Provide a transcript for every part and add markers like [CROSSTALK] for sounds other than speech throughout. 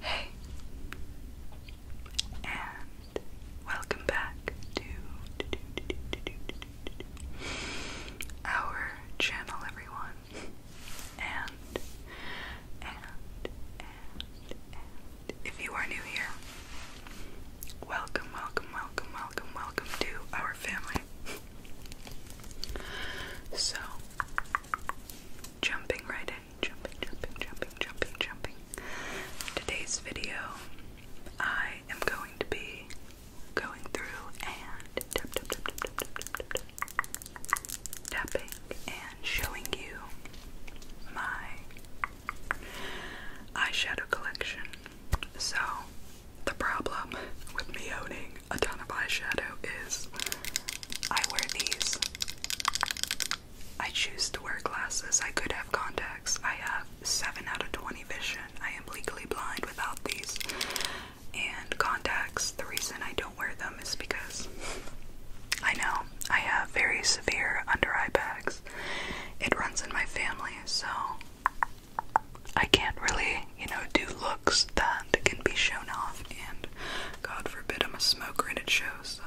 Hey, and welcome back to our channel, everyone and, and, and, and. If you are new here, welcome, welcome, welcome, welcome, welcome to our family. So, jumping right in, jumping, jumping, jumping, jumping, jumping. Today's video, I am going to be going through and tapping and and showing you my eyeshadow collection. So, the problem with me owning a ton of eyeshadow is I wear these. I choose to wear glasses. I could have contacts. I have 7 out of 20 vision. I am legally blind without these. And contacts, the reason I don't wear them um, is because I know I have very severe under eye bags. It runs in my family, so I can't really, you know, do looks that can be shown off, and God forbid I'm a smoker and it shows, so.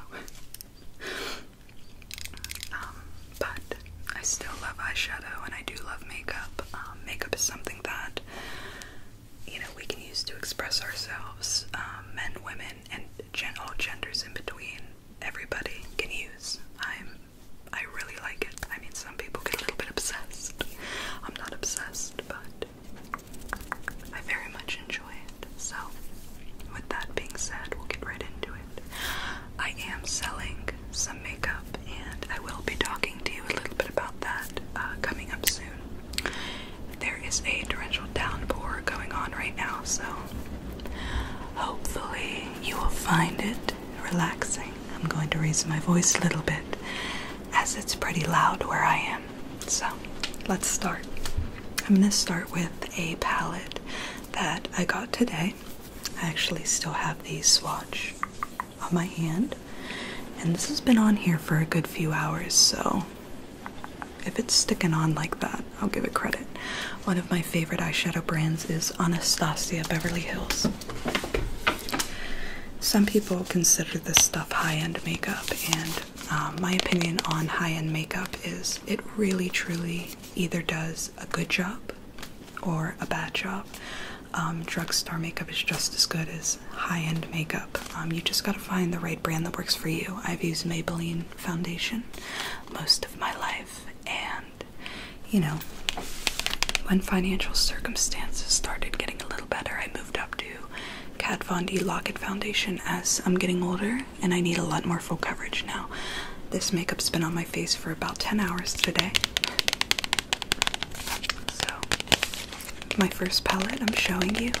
Um, but I still love eyeshadow and I do love makeup. Um, makeup is something that you know we can use to express ourselves. Um, men, women, and gen all genders in between. Everybody can use. I'm. I really like it. I mean, some people get a little bit obsessed. I'm not obsessed, but I very much enjoy it. So, with that being said, we'll get right into it. I am selling some makeup, and I will be talking to you a little bit about that uh, coming up soon. There is a torrential downpour going on right now, so hopefully you will find it relaxing. I'm going to raise my voice a little bit as it's pretty loud where I am. So let's start. I'm going to start with a palette that I got today. I actually still have the swatch on my hand, and this has been on here for a good few hours, so if it's sticking on like that, I'll give it credit. One of my favorite eyeshadow brands is Anastasia Beverly Hills. Some people consider this stuff high end makeup, and uh, my opinion on high end makeup is it really truly either does a good job or a bad job. Um, drugstore makeup is just as good as high-end makeup. Um, you just gotta find the right brand that works for you. I've used Maybelline foundation most of my life, and you know, when financial circumstances started getting a little better, I moved up to Kat Von D Locket foundation as I'm getting older, and I need a lot more full coverage now. This makeup's been on my face for about 10 hours today. So, my first palette I'm showing you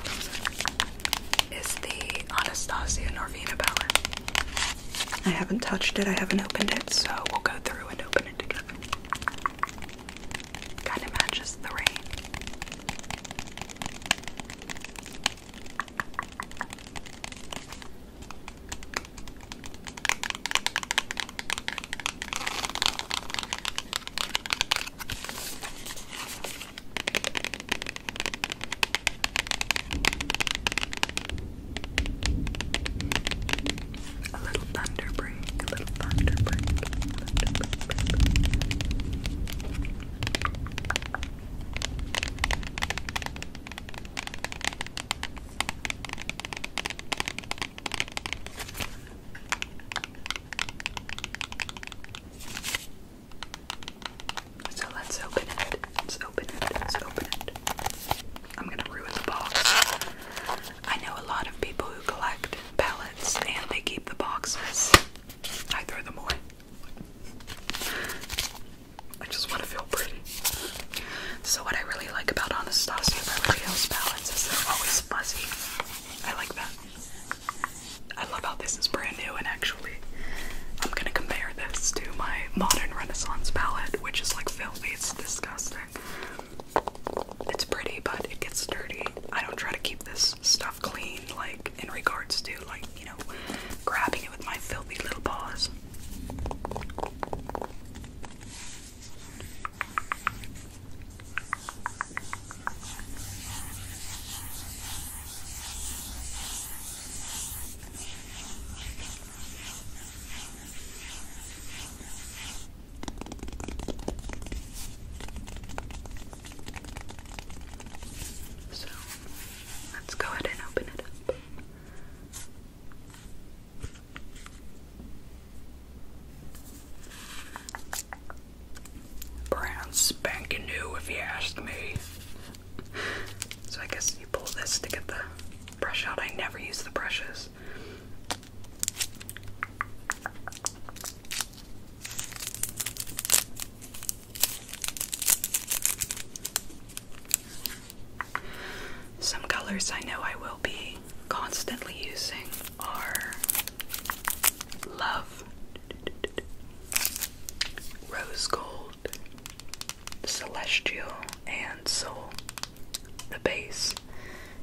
is the Anastasia Norvina palette. I haven't touched it, I haven't opened it, so we'll go through and open it together. Kind of matches the rain. A little thunder break, a little thunder break, thunder break, break. So let's open it. Let's open it. Let's open it. I'm gonna ruin the box. I know a lot of people who collect pellets and they keep the boxes. I throw them away. I just want to feel pretty. So what I really like about Anastasia Beverly Hills palettes is they're always fuzzy. I like that. I love how this is brand new, and actually, I'm gonna compare this to my modern Renaissance palette, which is like filthy, it's disgusting. It's pretty, but it gets dirty. I don't try to keep this stuff clean, like in regards to, like, you know, grabbing it with my filthy little paws. So let's go ahead and open it up. Brand spanking new, if you ask me. So I guess you pull this to get the brush out. I never use the brushes. Some colors I know I will be constantly using are Love Rose Gold, Celestial, and Soul. The base.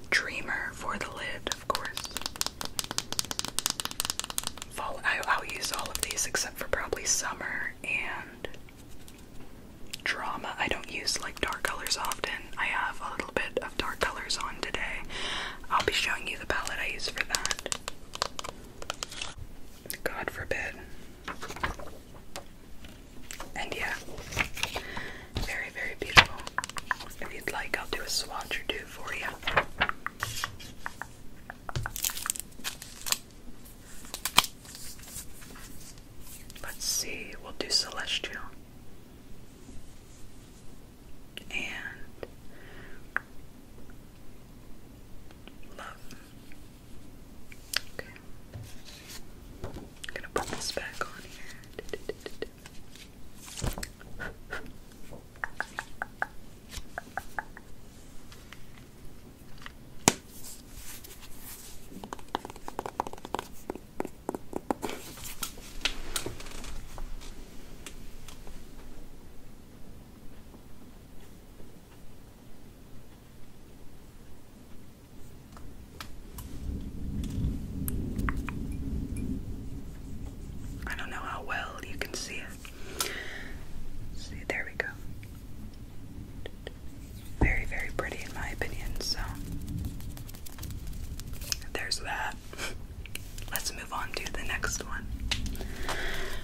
Dreamer for the lid, of course. I, I'll use all of these except for probably Summer and Drama. I don't use like dark colors often. I have a little bit of dark colors on today. I'll be showing you the palette I use for that. God forbid. And yeah, very, very beautiful. If you'd like, I'll do a swatch or two for you. Let's see, we'll do Celestial and love. Okay. I'm gonna put this back on here. I don't know how well you can see it. See, there we go. Very, very pretty in my opinion, so there's that. [LAUGHS] let's move on to the next one.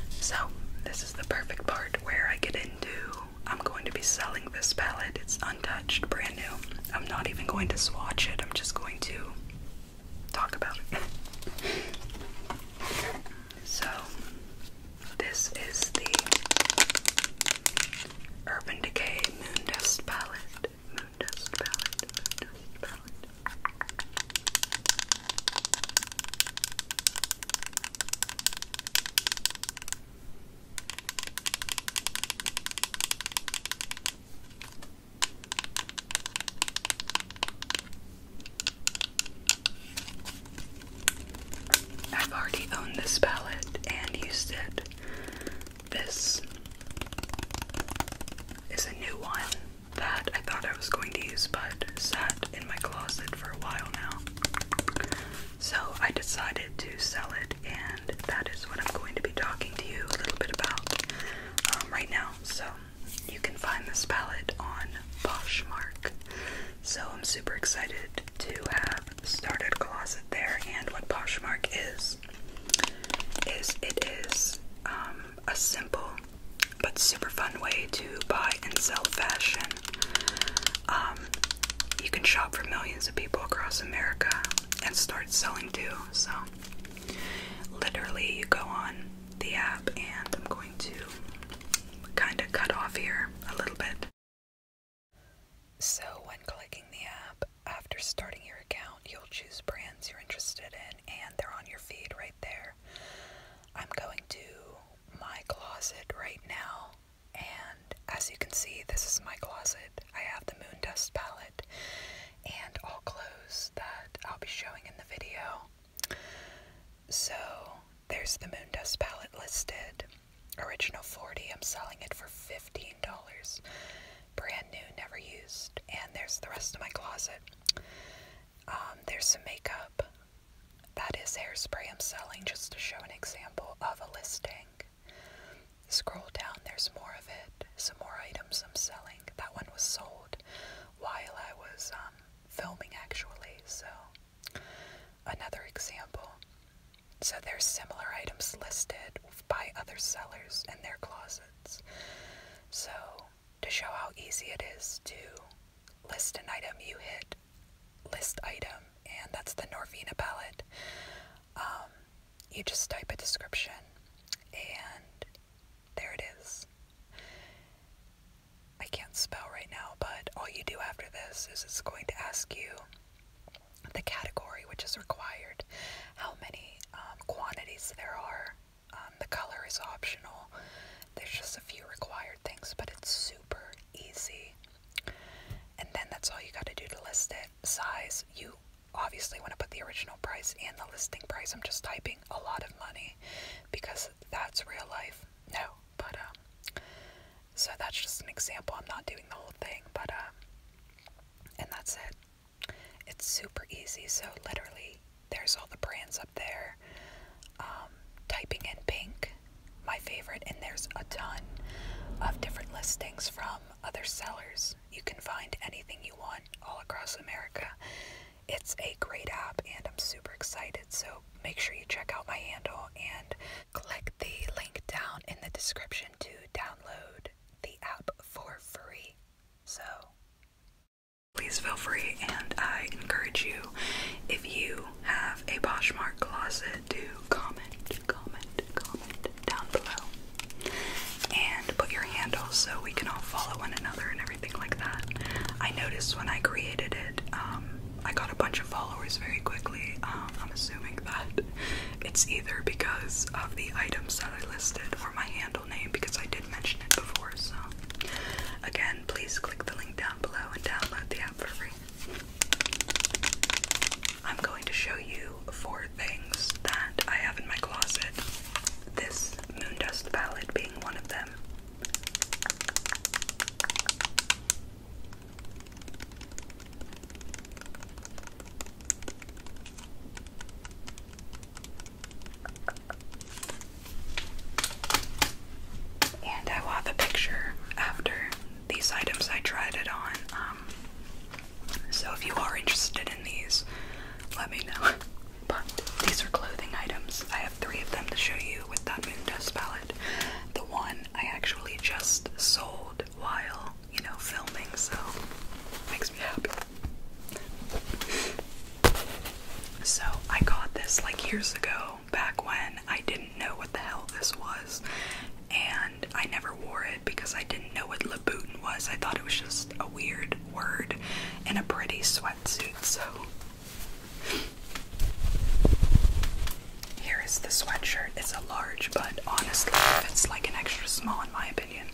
So, this is the perfect part where I get into I'm going to be selling this palette. It's untouched, brand new. I'm not even going to swatch it, I'm just going to talk about it. [LAUGHS] so, this is the Urban Decay Moon Dust palette. Moon Dust palette, Moon Dust palette. I've already owned this palette and used it. This is a new one that I thought I was going to use but sat in my closet for a while now. So I decided to sell it, and that is what I'm going to be talking to you a little bit about um, right now. So you can find this palette on Poshmark. So I'm super excited to have started closet there, and what Poshmark is, is it is um, a simple but super fun way to buy and sell fashion. Um, you can shop for millions of people across America and start selling too. So, literally, you go on the app, and I'm going to kind of cut off here a little bit. So, when clicking the app, after starting your account, you'll choose brands you're interested in, and they're on your feed right there. I'm going to my closet right now, and as you can see, this is my closet. I have the moon dust palette and all clothes that I'll be showing in the video. So there's the moon dust palette listed. Original 40, I'm selling it for $15. Brand new, never used. And there's the rest of my closet. Um, there's some makeup. That is hairspray I'm selling just to show an example of a listing. Scroll down, there's more of it. Some more items I'm selling. That one was sold while I was um, filming actually, so another example. So there's similar items listed by other sellers in their closets. So to show how easy it is to list an item, you hit list item, and that's the Norvina palette. Um, you just type a description, and there it is. I can't spell right now, but all you do after this is it's going to ask you the category which is required, how many um, quantities there are, um, the color is optional. There's just a few required things, but it's super easy. And then that's all you got to do to list it. Size, you obviously want to put the original price and the listing price. I'm just typing a lot of money because that's real life. No, but um, so that's just an example. I'm not doing the whole thing, but um, and that's it. It's super easy. So literally, there's all the brands up options up um, typing in pink, my favorite, and there's a ton of different listings from other sellers. You can find anything you want all across America. It's a great app, and I'm super excited. So make sure you check out my handle and click the link down in the description to download the app for free. So, please feel free and I encourage you if you have a Poshmark closet to comment, comment, comment down below and put your handle so we can all follow one another and everything like that. I noticed when I created it, um, I got a bunch of followers very quickly. Um, I'm assuming that [LAUGHS] it's either because of the items that I listed or my handle name because I did mention it before. So, again, please click the link down below and download the app for free. I'm going to show you four things that I have in my closet. This Moondust palette being one of them. And I will a picture after these items I tried it on. Um, so if you are interested in these, let me know. [LAUGHS] But these are clothing items. I have three of them to show you with that moon dust palette. The one I actually just sold while, you know, filming, so makes me happy. [LAUGHS] So I got this like years ago, back when I didn't know what the hell this was, and I never wore it because I didn't know what Labutin was. I thought it was just a weird word in a pretty sweatsuit, so here is the sweatshirt. It's a large, but honestly, it's like an extra small in my opinion.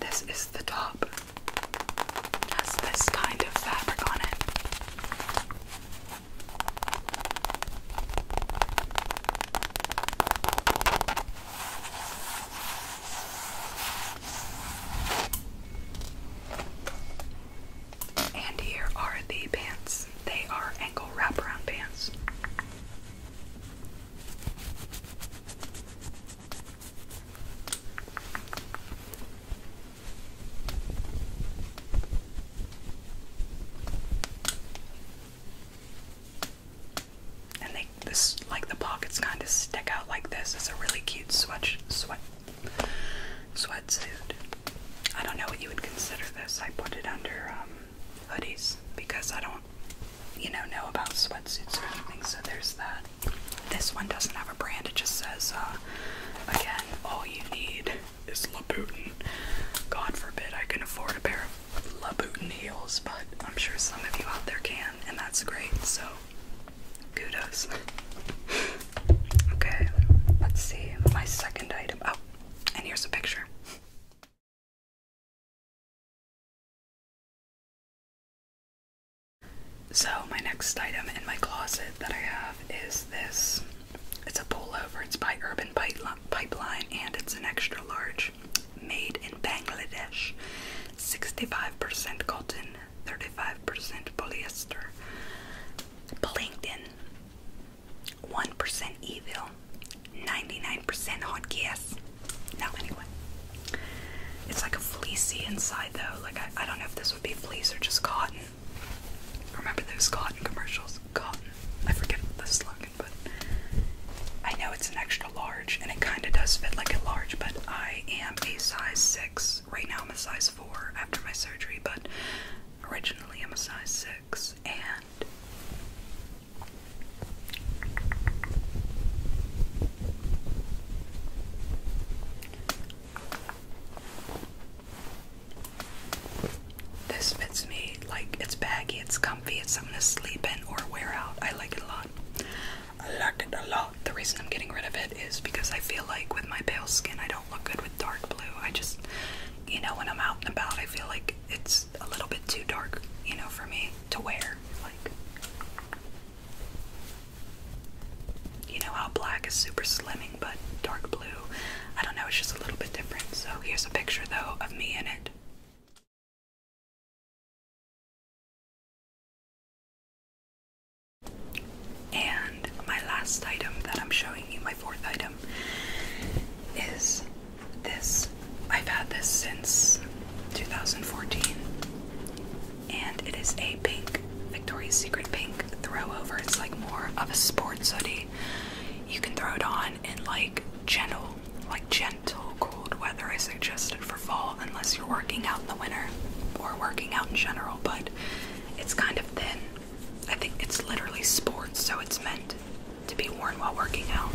This is the top. has this kind of fabric on it. And here are the pants. They are ankle wraparound pants. And they this like the pockets kind of stick out like this. It's a really cute sweat sweat sweatsuit. I don't know what you would consider this. I put it under um, hoodies because I don't, you know, know about sweatsuits or anything. So there's that. This one doesn't have a brand. It just says, uh, again, all you need is Labutin. God forbid I can afford a pair of Labutin heels, but I'm sure some of you out there can, and that's great. So kudos. okay, let's see my second item. Oh, and here's a picture. So, my next item in my closet that I have is this. It's a pullover, it's by Urban Pipeline, and it's an extra large. Made in Bangladesh. 65% cotton, 35% polyester, LinkedIn, 1% evil, 99% hot gas. Now, anyway, it's like a fleecy inside though. Like, I, I don't know if this would be fleece or just cotton. Remember those cotton commercials? Cotton. I forget the slogan, but I know it's an extra large and it kind of does fit like a large, but I am a size 6. Right now, I'm a size 4 after my surgery, but originally I'm a size 6 and this fits me like it's baggy, it's comfy, it's something to sleep in or wear out. I like it a lot. I like it a lot. The reason I'm getting rid of it is because I feel like with my pale skin, I don't look good with dark blue. I just, you know, when I'm out and about, I feel like it's a little bit too dark, you know, for me to wear. Like, you know how black is super slimming, but dark blue, I don't know, it's just a little bit different. So here's a picture though of me in it. And my last item that I'm showing you, my fourth item, is this. I've had this since 2014, and it is a pink, Victoria's Secret pink throwover. It's like more of a sports hoodie. You can throw it on in like gentle, like gentle cold weather. I suggest it for fall, unless you're working out in the winter or working out in general. But it's kind of thin. I think it's literally sports, so it's meant to be worn while working out.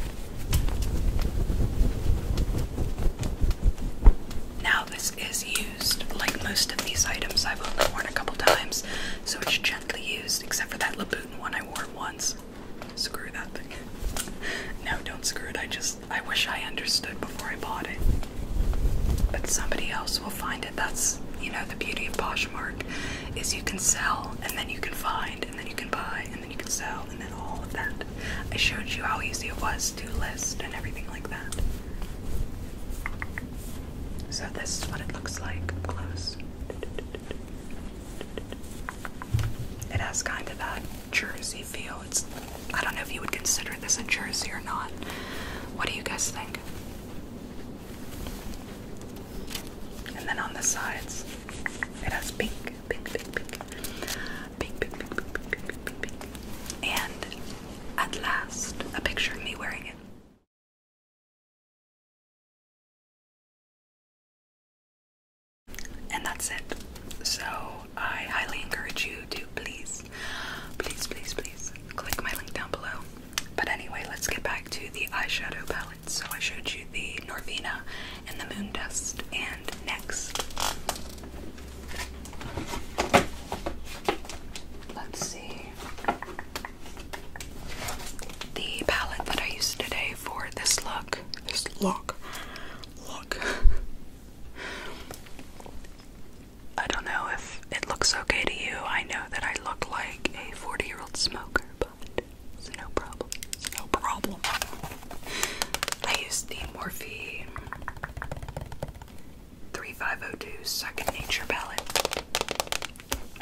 Now, this is used like most of these items, I've only worn a couple times, so it's gently used, except for that Labutin one I wore once. Screw that thing. [LAUGHS] Now don't screw it, I just I wish I understood before I bought it. But somebody else will find it. That's, you know, the beauty of Poshmark is you can sell and then you can find and then you can buy and then you can sell and then all of that. I showed you how easy it was to list and everything like that. So this is what it looks like up close. It has kind of that jersey feel. It's I don't know if you would consider this a jersey or not. What do you guys think? And then on the sides, it has pink, pink, pink, pink, pink, pink, pink, pink, pink, pink, and at last, a picture of me wearing it. And that's it. So I highly encourage you to please Please, please, please click my link down below. But anyway, let's get back to the eyeshadow palettes. So I showed you the Norvina and the Moon Dust, and next. Let's see. The palette that I used today for this look, this look, look, [LAUGHS] I don't know if it looks okay to you. I know that I look like a 40 year old smoker, but it's no problem. no problem. I use the Morphe 3502 Second Nature palette.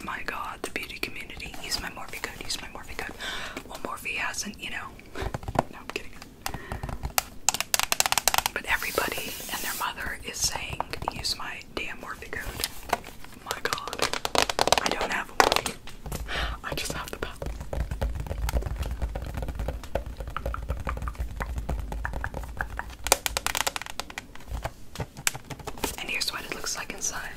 My god, the beauty community. Use my Morphe code, use my Morphe code. Well, Morphe hasn't, you know. No, I'm kidding. But everybody and their mother is saying, use my damn Morphe code. My god. I don't have a I just have the palette. And here's what it looks like inside.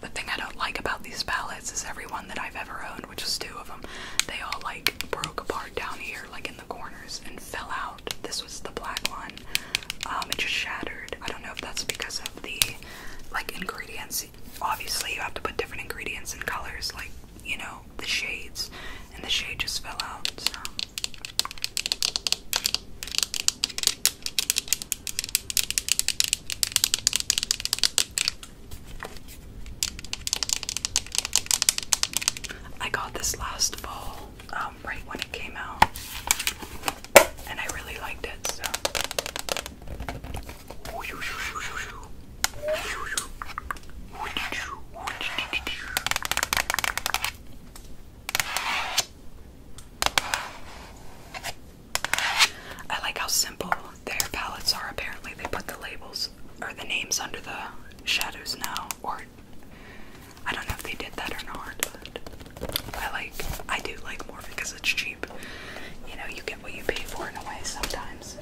The thing I don't like about these palettes is every one that I've ever owned, which is two of them, they all like broke apart down here, like in the corners, and fell out. This was the black one. Um, it just shattered. I don't know if that's because of the like ingredients. Obviously, you have to put different ingredients and colors, like you know the shades, and the shade just fell out. So. I got this last fall, um, right when it came out, and I really liked it. So, I like how simple their palettes are. Apparently, they put the labels or the names under the shadows now, or I don't know if they did that or not. But I like, I do like more because it's cheap. You know, you get what you pay for in a way sometimes.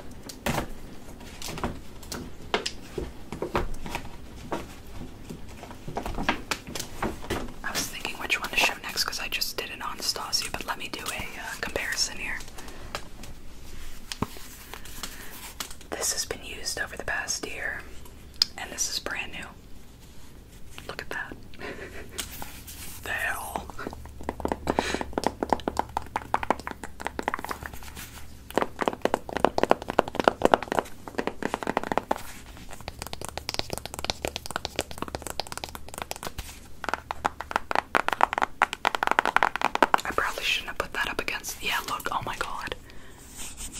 I was thinking which one to show next because I just did an Anastasia, but let me do a uh, comparison here. This has been used over the past year, and this is brand new. Look at that. [LAUGHS] the I probably shouldn't have put that up against. Yeah, look, oh my god.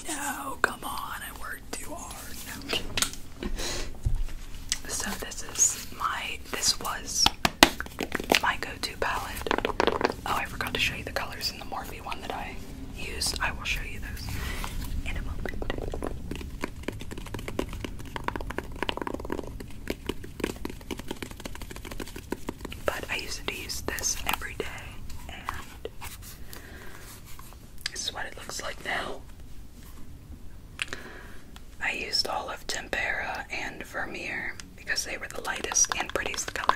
No, come on, I worked too hard. No. [LAUGHS] so, this is my. This was my go to palette. Oh, I forgot to show you the colors in the Morphe one that I used. I will show you those in a moment. But I used to use this every day, and this is what it looks like now. I used all of Tempera and Vermeer because they were the lightest and prettiest colors.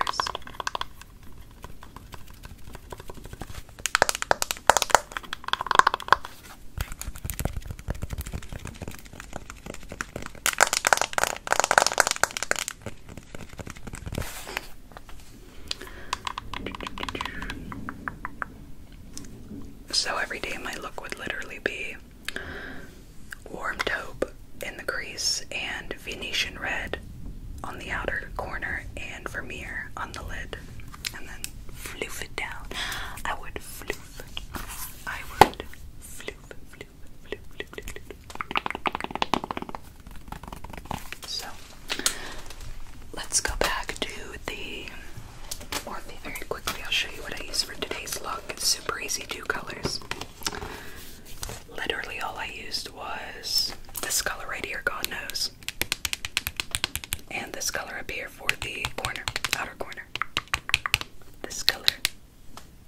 So every day my look would literally be warm taupe in the crease and Venetian red on the outer corner and Vermeer on the lid and then floof it down. I would floof. I would floof, floof, floof, floof, floof, floof. So let's go back to the very quickly. I'll show you what I use for today's look. It's super easy, two colors. Literally all I used was this color right here, God knows this and this color up here for the corner, outer corner. This color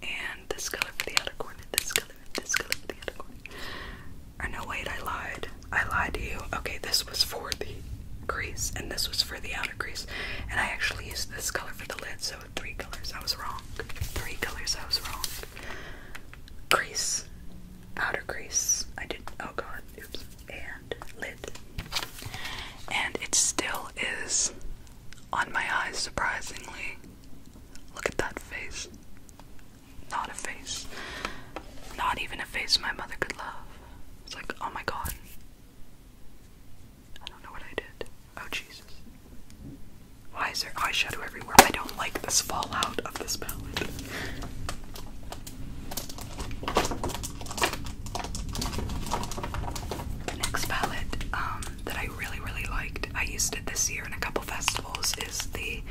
and this color for the outer corner. This color and this color for the outer corner. Or no, wait, I lied. I lied to you. Okay, this was for the crease and this was for the outer crease. And I actually used this color for the lid, so three colors. I was wrong. Three colors. I was wrong. Crease outer crease. I did. Oh god. Oops. And lid. And it still is on my eyes, surprisingly. Look at that face. Not a face. Not even a face my mother could love. It's like, oh my god. I don't know what I did. Oh Jesus. Why is there eyeshadow everywhere? I don't like this fallout of this palette. The next palette um, that I really, really liked, I used it this year in a couple festivals, is the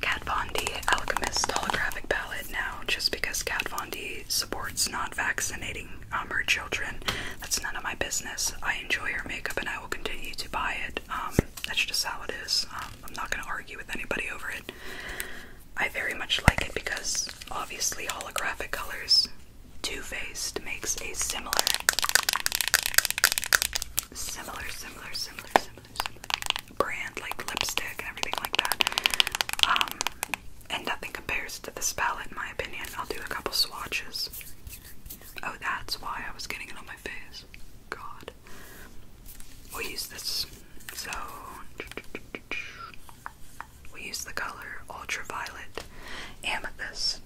Kat Von D Alchemist Holographic Palette now, just because Kat Von D supports not vaccinating um, her children. That's none of my business. I enjoy her makeup and I will continue to buy it. Um, that's just how it is. I'm not going to argue with anybody over it. I very much like it because obviously holographic colors Too Faced makes a similar similar similar similar similar brand like lipstick and everything like that. Um, and nothing compares to this palette in my opinion. I'll do a couple swatches. Oh that's why I was getting it on my face. God we use this. So we use the color ultraviolet amethyst.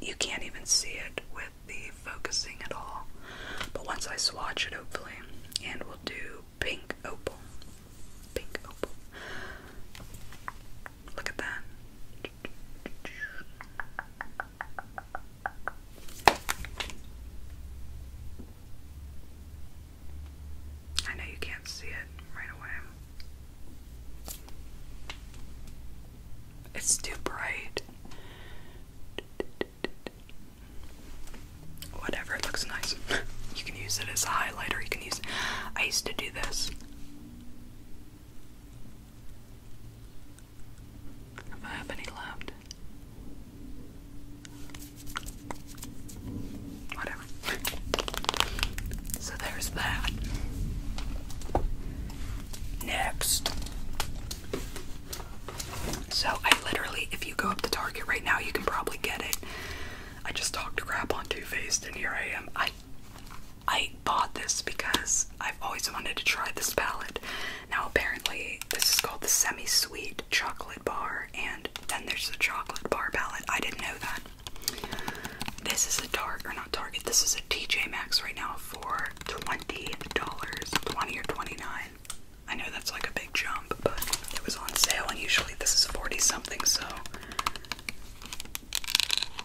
You can't even see it with the focusing at all. But once I swatch it hopefully, and we'll do pink opal. Pink opal. Look at that. I know you can't see it right away. It's too bright. Whatever, looks nice. [LAUGHS] You can use it as a highlighter. You can use. I used to do this. If I have any left. Whatever. [LAUGHS] so there's that. Next. So I literally, if you go up to Target right now, you can probably get it. I just talked to crap on Too Faced, and here I am. I I bought this because I've always wanted to try this palette. Now apparently, this is called the Semi Sweet Chocolate bar, and then there's the chocolate bar palette. I didn't know that. This is a Target, or not Target, this is a TJ Maxx right now for $20, 20 or 29 I know that's like a big jump, but it was on sale, and usually this is 40 something, so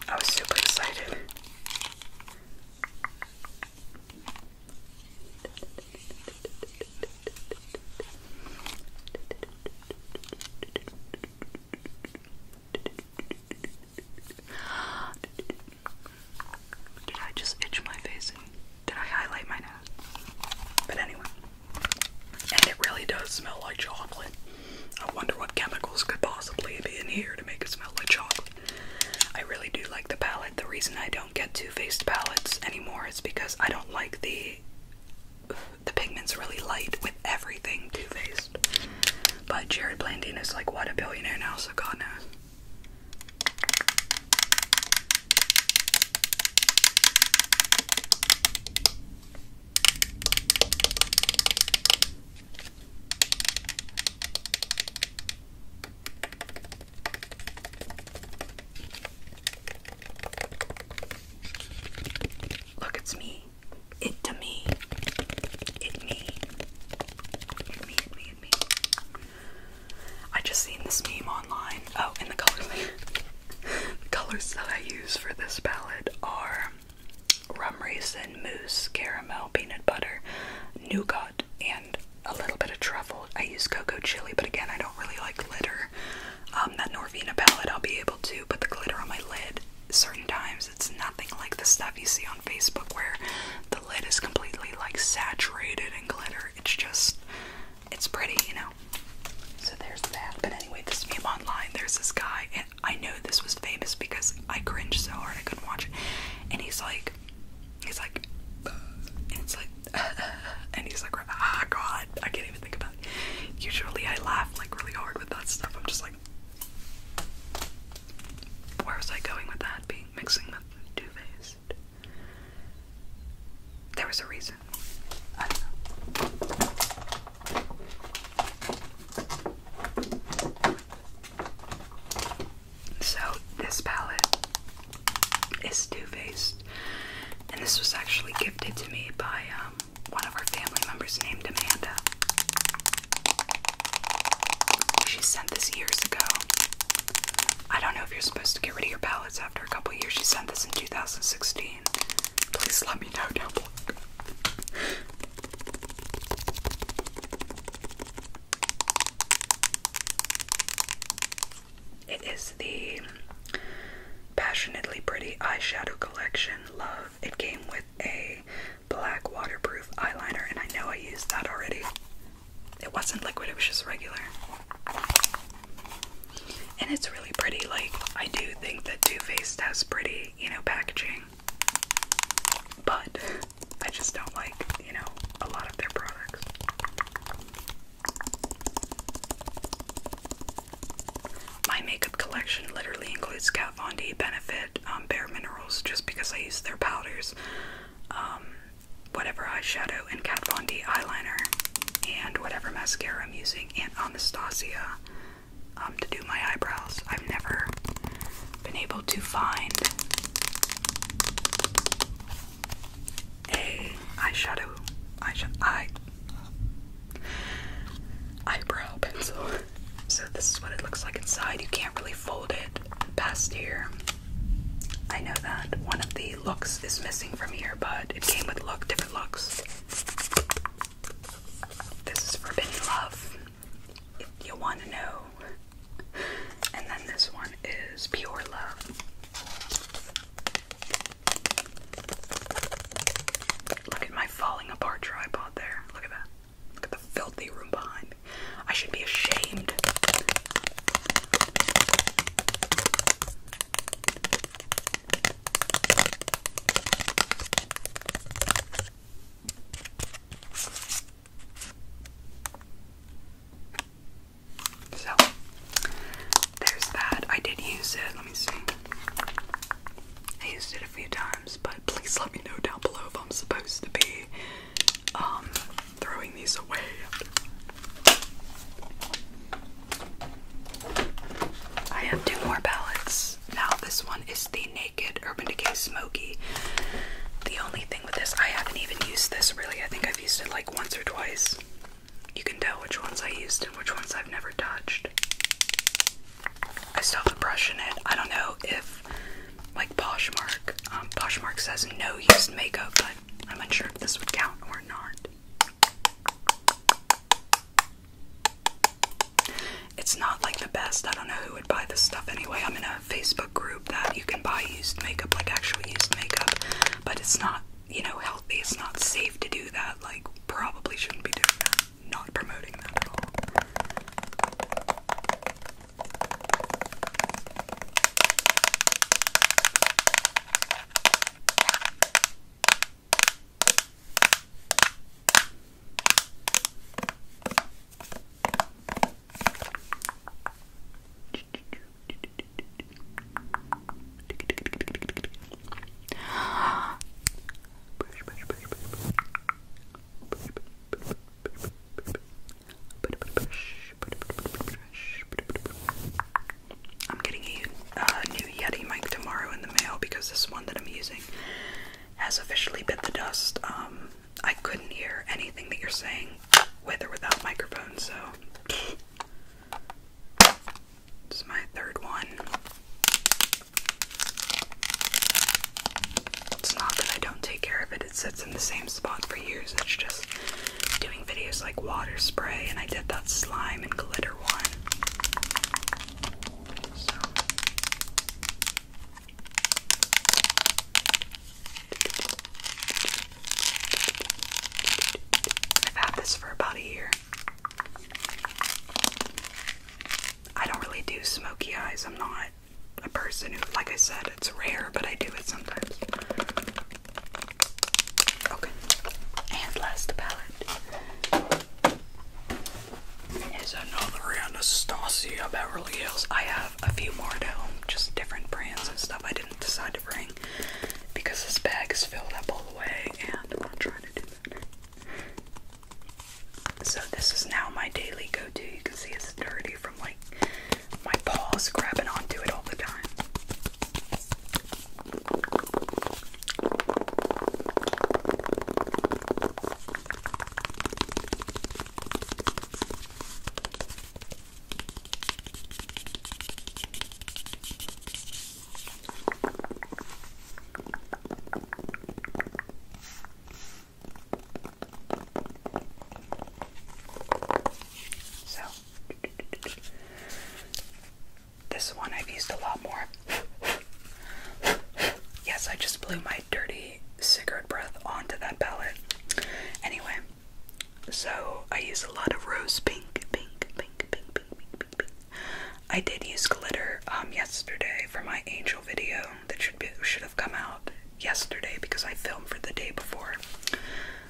I was super excited. Did I just itch my face did I highlight my nose? But anyway. And it really does smell like chocolate. I wonder what chemicals could possibly be in here to make it smell like chocolate. I really do like the palette. The reason I don't don't get Too faced palettes anymore. It's because I don't like the the pigment's really light with everything Too faced But Jared Blandine is like what a billionaire now, so God knows. Look, it's me. It to me. It me. me, me, it me. I just seen this meme online. Oh, in the colors [LAUGHS] the colors that I use for this palette are rum raisin, mousse, caramel, peanut butter, nougat, and a little bit of truffle. I use cocoa chili, but again, I don't really like glitter. Um, that Norvina palette, I'll be able to put the glitter on my lid certain times. It's nothing like the stuff you see on Facebook where the lid is completely like saturated in glitter. It's just, it's pretty, you know. So there's that. But anyway, this meme online, there's this guy, and I know this was famous because I cringed so hard I couldn't watch it. And he's like, He's like, uh, and it's like, [LAUGHS] and he's like, ah, God, I can't even think about it. Usually I laugh like really hard with that stuff. I'm just like, where was I going with that? Being mixing the Two Faced. There was a reason. So, this palette it's Too Faced. And this was actually gifted to me by um, one of our family members named Amanda. She sent this years ago. I don't know if you're supposed to get rid of your palettes after a couple years. She sent this in 2016. Please let me know down below. It is the Passionately Pretty Eyeshadow Collection Love. It came with a black waterproof eyeliner, and I know I used that already. It wasn't liquid, it was just regular. And it's really pretty. Like, I do think that Too Faced has pretty, you know, packaging. But I just don't like, you know, a lot of their products. My makeup collection literally includes Kat Von D, Benefit, um, Bare Minerals, just because I use their powders, um, whatever eyeshadow, and Kat Von D eyeliner, and whatever mascara I'm using, and Anastasia um, to do my eyebrows. I've never been able to find a eyeshadow, eye, eyebrow pencil. So this is what it looks like inside. You can't really fold it past here. I know that one of the looks is missing from here, but it came with look, different looks. This is Forbidden Love, if you want to know. And then this one is Pure Love. Look at my falling apart tripod there. Look at that. Look at the filthy room behind me. I should be ashamed. So there's that. I did use it. Let me see. I used it a few times, but please let me know down below if I'm supposed to be um, throwing these away. I have two more palettes. Now this one is the Naked Urban Decay Smoky. The only thing with this, I haven't even used this really. I think I've used it like once or twice. You can tell which ones I used and which ones I've never touched. I still have a brush in it. I don't know if, like Poshmark, um, Poshmark says no used makeup, but I'm unsure if this would count or not. It's not like the best. I don't know who would buy this stuff anyway. I'm in a Facebook group that you can buy used makeup, like actual used makeup, but it's not you know, healthy. It's not safe to do that. Like, probably shouldn't be doing that. Not promoting that at all. I'm getting a uh, new Yeti mic tomorrow in the mail because this one that I'm using has officially bit the dust. Um, I couldn't hear anything that you're saying with or without microphone, so it's my third one. It's not that I don't take care of it, it sits in the same spot for years. It's just doing videos like water spray, and I did that slime and glitter one. I've had this for about a year. I don't really do smoky eyes. I'm not a person who, like I said, it's rare, but I do it sometimes. Okay. And last palette is another Anastasia Beverly Hills. I have a few more at home, just different brands and stuff. I didn't decide to bring because this bag is filled up all the way and I'm not trying to do that. So this is now my daily go-to. You can see it's dirty from like my paws grabbing onto it all the time. So, this one I've used a lot more. yes, I just blew my dirty cigarette breath onto that palette. Anyway, so I use a lot of rose pink, pink, pink, pink, pink, pink, pink, pink. I did use glitter um yesterday for my angel video that should be should have come out yesterday because I filmed for the day before.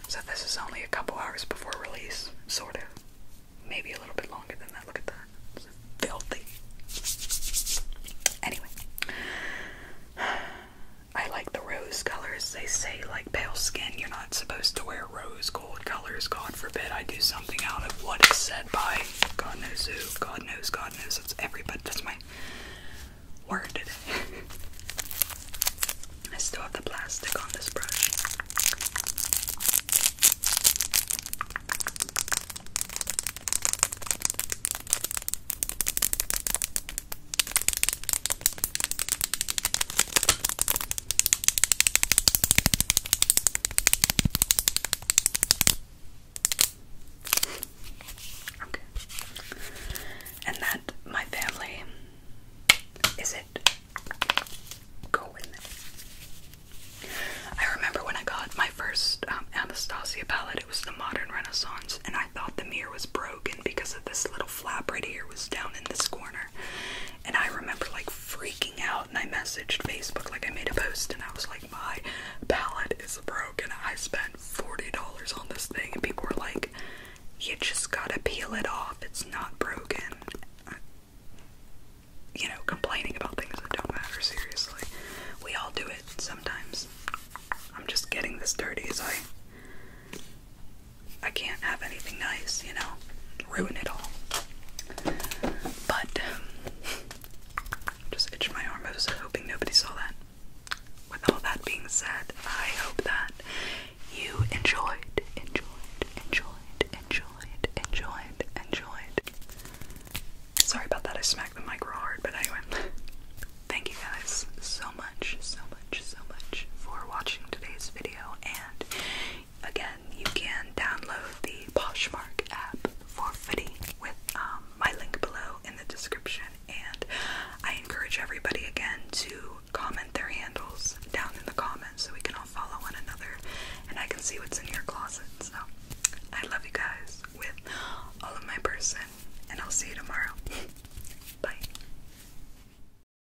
So this is only a couple hours before release, sort of. Maybe a little bit longer than that. Look at that. It's filthy. Anyway. [SIGHS] I like the rose colors. They say like pale skin, you're not supposed to wear rose colors. God forbid I do something out of what is said by God knows who. God knows, God knows. That's everybody. That's my word today. [LAUGHS] I still have the plastic on this brush. Okay. And that, my family, is it going? I remember when I got my first um, Anastasia palette, it was the Modern Renaissance, and I thought the mirror was broken because of this little flap right here was down in this corner. And I remember like freaking out, and I messaged Facebook, like I made a post, and I was like, my palette is broken. I spent $40 on this thing, and people were like, you just gotta peel it off, it's not broken. You know, complaining about things that don't matter, seriously. We all do it sometimes. I'm just getting this dirty as I I can't have anything nice, you know, ruin it all. But [LAUGHS] just itch my arm. I was hoping nobody saw that. With all that being said, I hope that you enjoyed, enjoyed, enjoyed, enjoyed, enjoyed, enjoyed. Sorry about that. I smacked the micro hard, but anyway. [LAUGHS] Thank you guys so much, so much, so much for watching today's video. And again, you can download the Poshmark app for fitting with um, my link below in the description. And I encourage everybody again to comment their handles down in the comments so we can all follow one another and I can see what's in your closet. So I love you guys with all of my person, and I'll see you tomorrow. [LAUGHS] Bye.